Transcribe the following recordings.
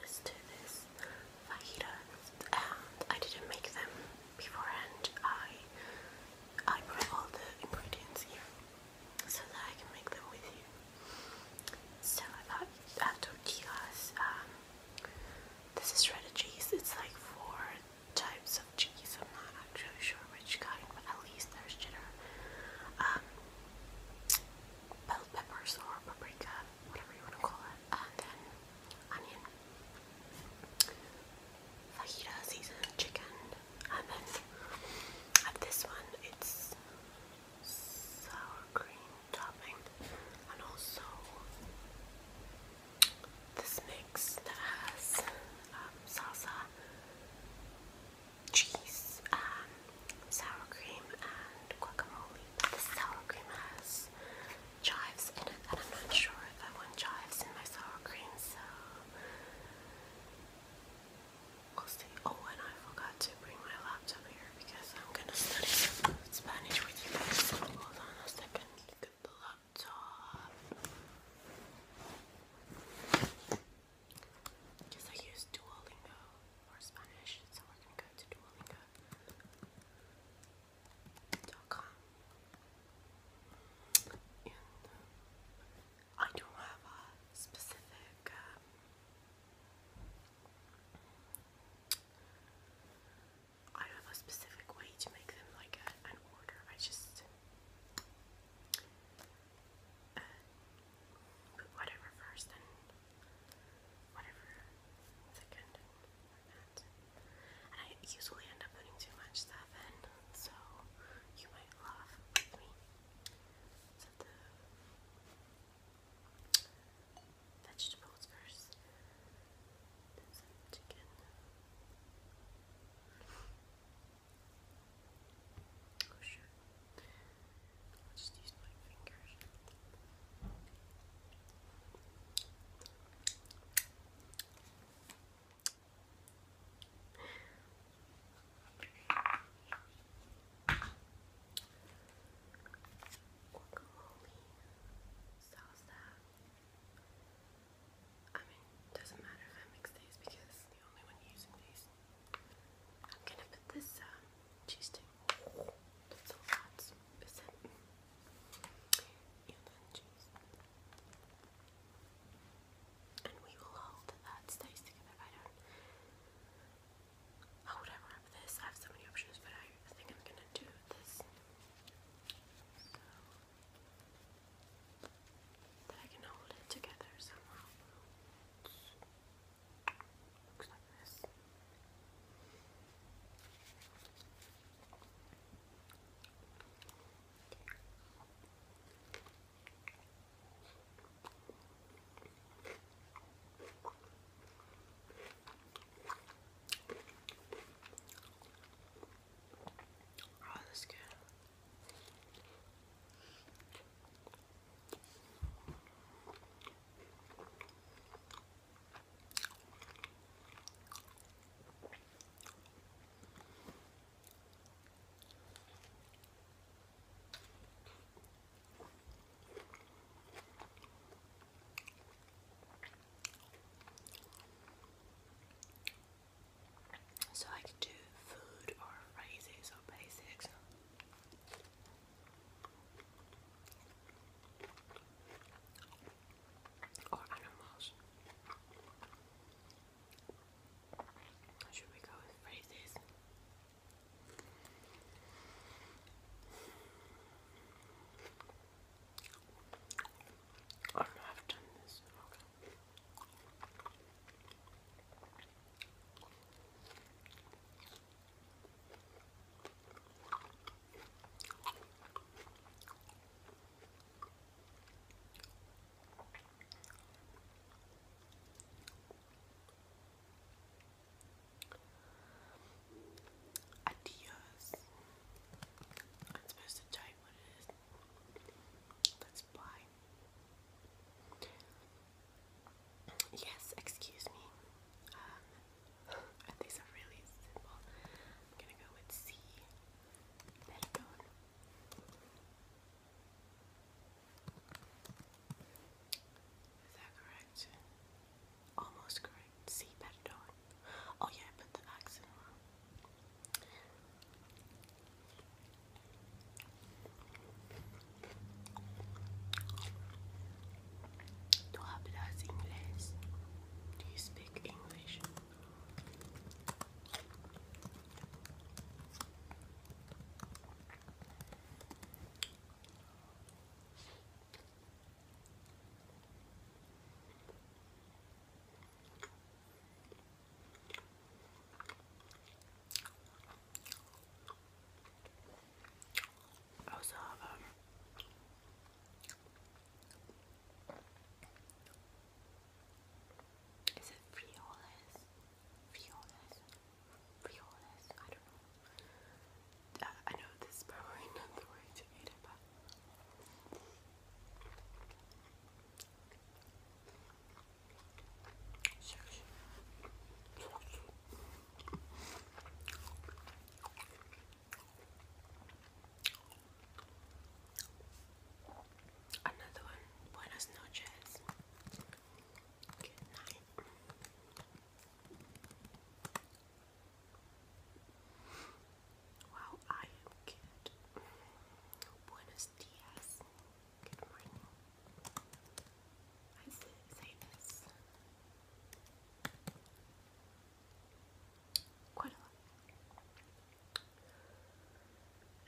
Let's do this fajitas I didn't make them beforehand. I I brought all the ingredients here so that I can make them with you. So I got uh, tortillas. Um, this is shredded cheese. It's like four types of cheese. I'm not actually sure which kind, but at least there's cheddar. Um, bell peppers or paprika whatever you want to call it, and um, then onion, fajita seasoned chicken, and then at this one it's sour cream topping, and also this mix has um, salsa, cheese, and sour cream and guacamole. But the sour cream has chives in it, and I'm not sure if I want chives in my sour cream, so we'll see. Oh, and I forgot to bring my laptop here because I'm gonna study Spanish with you guys. Hold on a second. Get the laptop. Because I use Duolingo for Spanish, so we're gonna go to Duolingo. .com. And uh, I don't have a specific um, I don't have a specific way to make them like an order. I just uh, put whatever first and whatever second And I usually end up putting too much stuff in, so you might laugh with me. vegetables first. Then oh, sure i just use my fingers. Guacamole, salsa. I mean, doesn't matter if I mix these because I'm the only one using these. I'm gonna put this um, cheese stick. That's all that's is it. And then cheese. And we will hold that stays together. I would I this? I have so many options, but I think I'm gonna do this. So that I can hold it together somehow. Looks like this. Oh, that's good. So I could do food or phrases or basics or animals. Should we go with phrases? Oh I've done this. Adios. I'm supposed to type what it is. That's bye. Yes, excuse me. Um, and these are really simple. I'm gonna go with C. Perdón. Is that correct? Almost correct. C. Perdón. Oh yeah, I put the accent wrong. Tú hablas inglés. Do you speak English? Also, um, is it Frioles? Frioles? Frioles? I don't know. Uh, I know this is probably not the way to eat it, but. Sure, sure. Another one. Buenas noches. Good night. Wow, I am good. Buenos dias. Good morning. I say this. Quite a lot.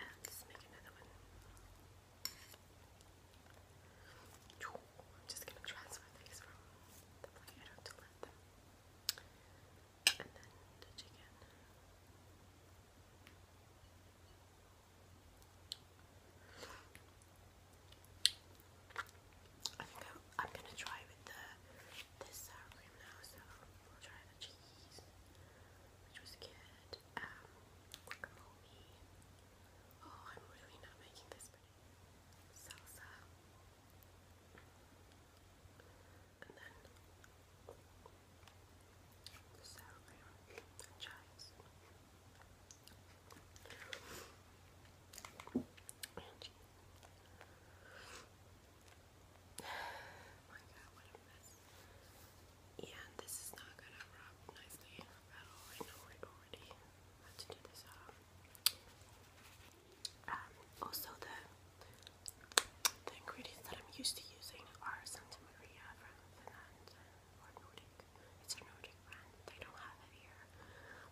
And let's make another one. I'm just gonna transfer these from the platter to let them. And then the chicken. I think I, am gonna try with the this sour cream now, so we'll try the cheese, which was good. Um, Oh, I'm really not making this pretty. Salsa. And then the sour cream and chives. Angie. My Yeah, this is not going um, um, also the the ingredients that I'm used to using are Santa Maria from Finland It's a Nordic brand. They don't have it here.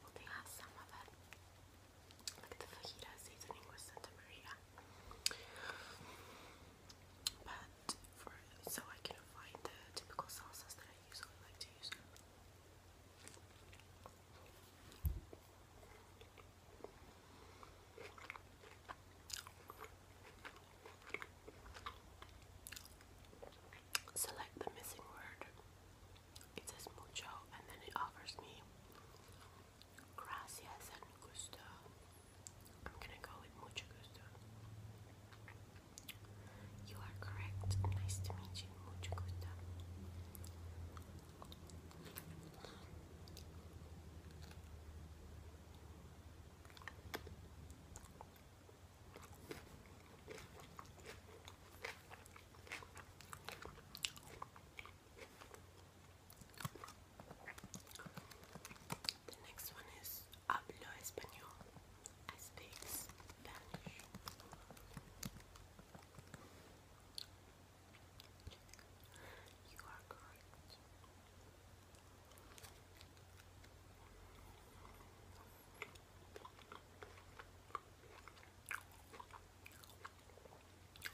Well they have some of it. Like the fajita seasoning with Santa the typical salsas that I usually Select the missing word. It says mucho and then it offers me gracias and gusto. I'm gonna go with mucho gusto. You are correct. Nice to meet you. Mucho gusto. The next one is I speak Spanish. You are correct.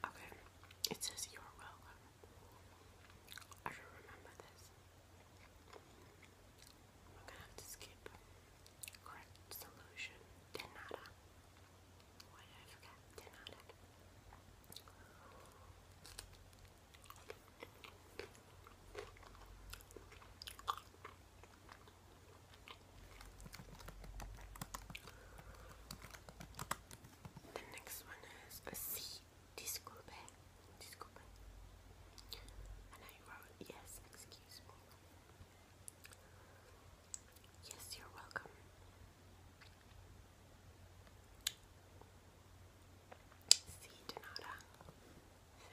Okay, it says you're welcome. I should remember this. I'm gonna have to skip. Correct solution. Denada. Why Denada. The next one is a C disculpe. Disculpe. And I wrote yes, excuse me. Yes, you're welcome. C denata. Uh, I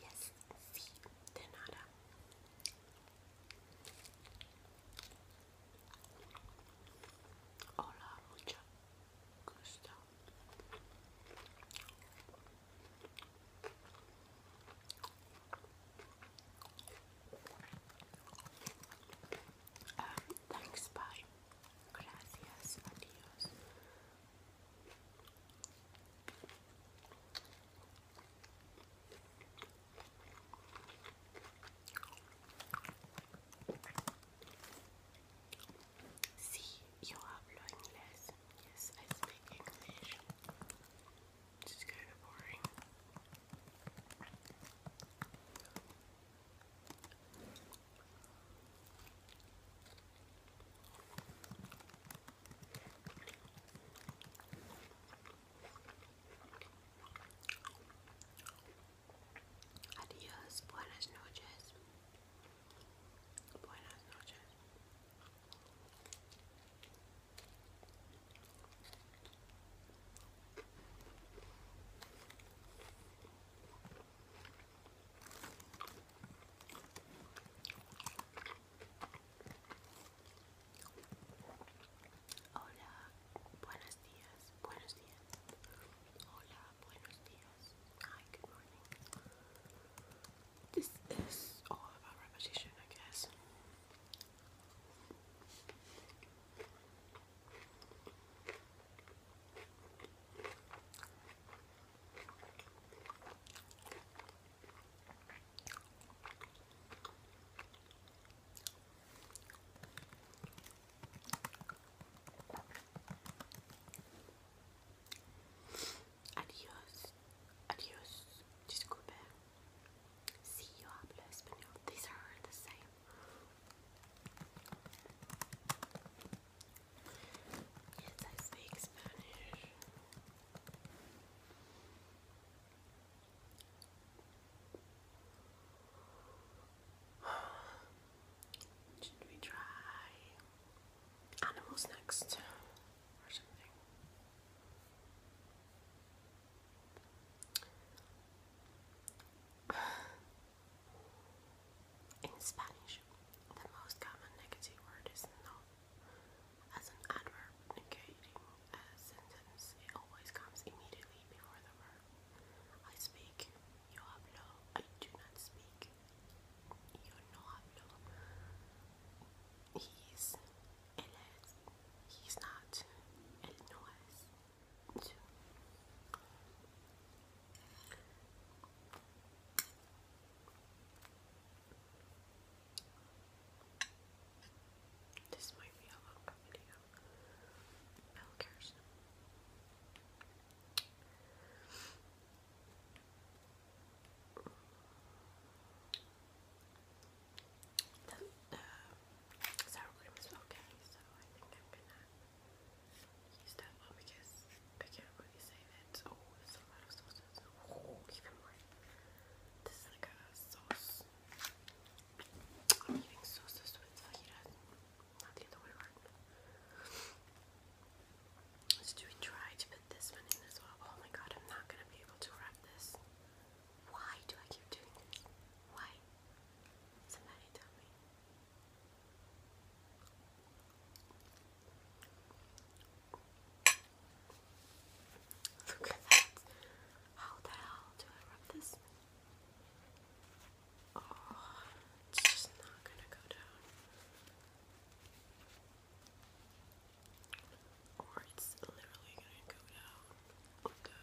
Yes, sí, de nada. Hola, mucho gusto. Um, thanks, bye. Gracias, adios. See, you hablo inglés. Yes, I speak English. It's kind of boring. Adiós, buenas noches. Buenas noches. Hola, buenos días, buenos días. Hola, buenos días. Hi, good morning. This is all oh, about repetition, I guess. Adios, adios, disculpe. See you hablo español. These are the same. I speak Spanish. Should we try animals next In Spanish, the most common negative word is no. As an adverb negating a sentence, it always comes immediately before the verb. I speak, yo hablo, I do not speak, yo no hablo. He's, él es, he's not, él no es. This might be a long video. Milkers. The uh, sour cream is okay, so I think I'm gonna use that one because I can't really say that. Oh, there's a lot of sauces. Oh, even This is like a sauce. I'm eating sauces with fajitas, not the try to put this one in as well? Oh my god, I'm not gonna be able to wrap this. Why do I keep doing this? Why? Somebody tell me. Look at that. How the hell do I rub this? Oh, it's just not gonna go down. Or it's literally gonna go down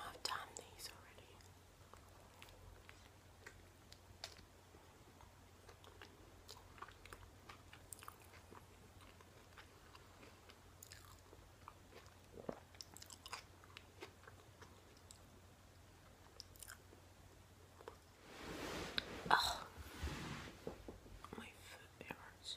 I've done these already. Oh, my foot hurts.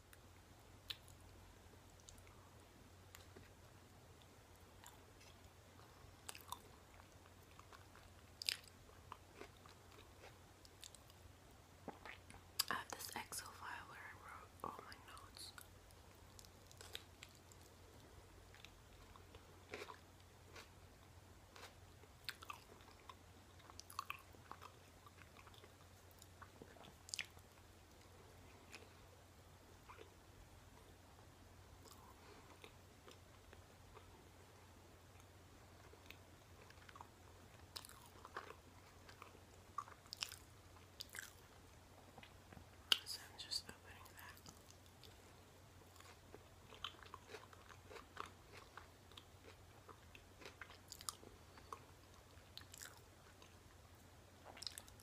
I have this Excel file where I wrote all my notes. So I'm just opening that.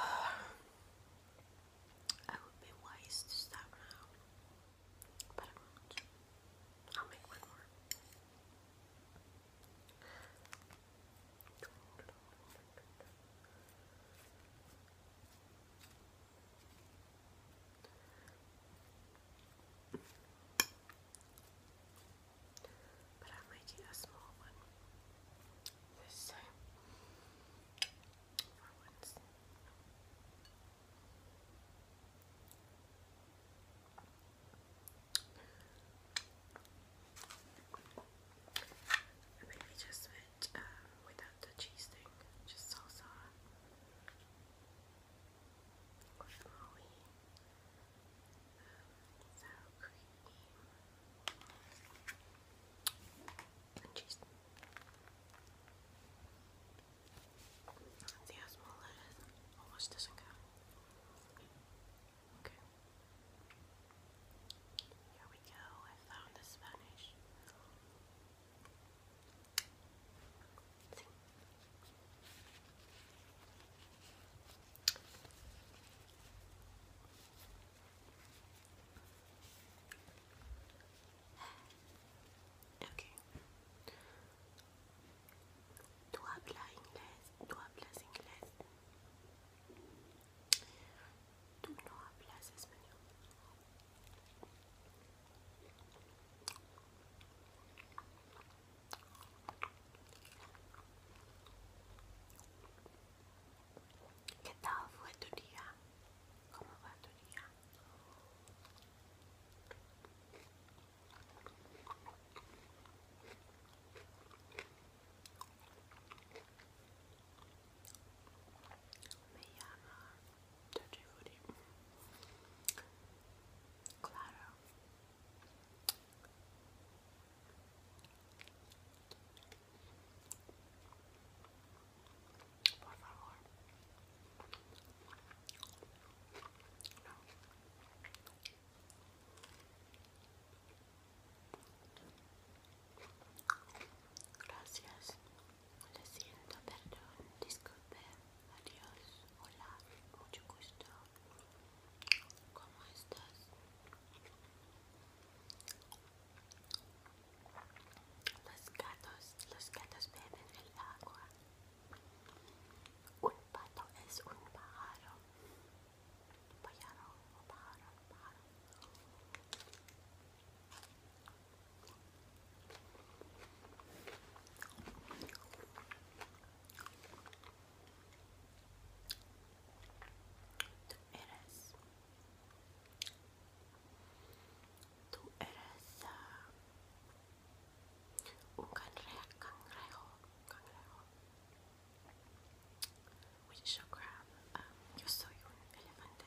I would be wise to stop now, but I won't. I'll make one more but I'll make a small one this time for once. And maybe just with, um, without the cheese thing, just salsa sour cream, and cheese. See Almost doesn't go. Okay. Here we go. I found the Spanish. Okay. Tú hablas inglés, tú hablas inglés. no hablas español. ¿Qué tal fue tu día? ¿Cómo va tu día? Me llama Claro, Por favor. Gracias. Lo siento, perdón, disculpe, adiós, hola, mucho gusto. ¿Cómo estás? Los gatos, los gatos beben el agua. Un pato es un pájaro. Pájaro, pájaro, pájaro. Tú eres. Tú eres uh, un cangrejo, cangrejo, cangrejo. Which is your crab. Um, yo soy un elefante.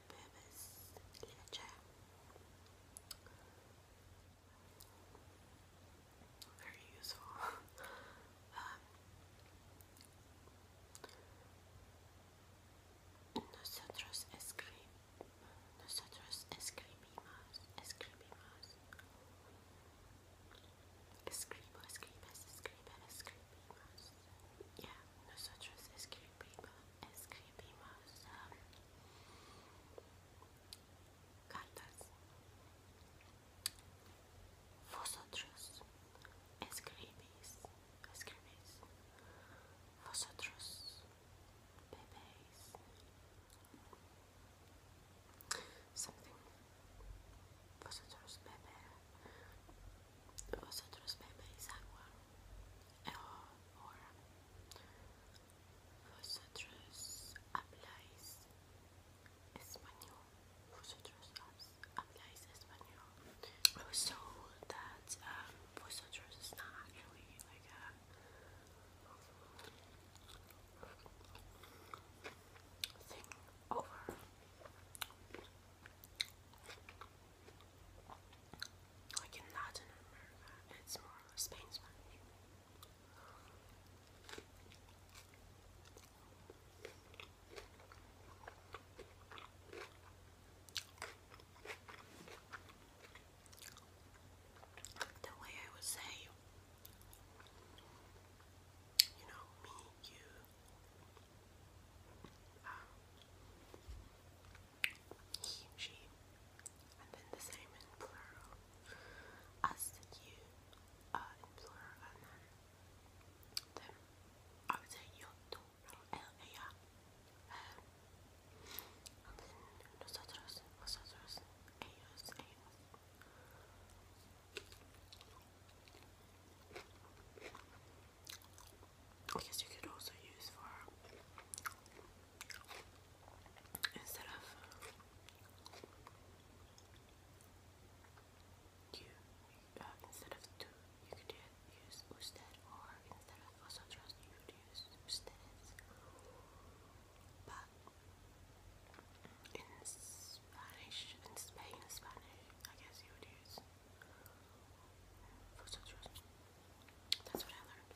to Bemis Leche. Very useful. um, nosotros escri nosotros escribimos, escribimos, escribo, escribes, escribe, escribimos. Yeah, nosotros escribimos es escribimos ah, cartas. Vosotros escribís, escribís. Vosotros bebéis. Something. Vosotros bebé. Vosotros bebéis agua or vosotros habláis español. Vosotros habláis español. I was told that um, vosotros is not actually like a thing over like in Latin America, it's more or less Spanish. The way I would say, you know, me, you, um, he, she, and then the same in plural. Us you uh, in plural, and then I would say your plural, el, ella. and then nosotros, vosotros, ellos, ellos. I guess you could also use for instead of uh, you uh, instead of two you could use usted or instead of vosotros you could use ustedes but in Spanish in Spain Spanish I guess you would use vosotros that's what I learned.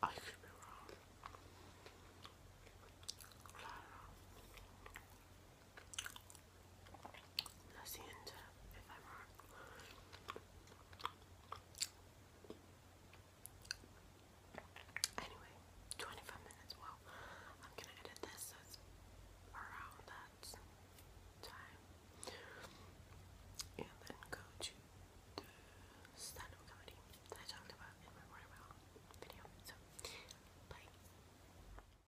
i could be wrong. That's the Anyway, 25 minutes. Well, I'm gonna edit this around that time. And then go to the stand up comedy that I talked about in my Royal video. So, bye.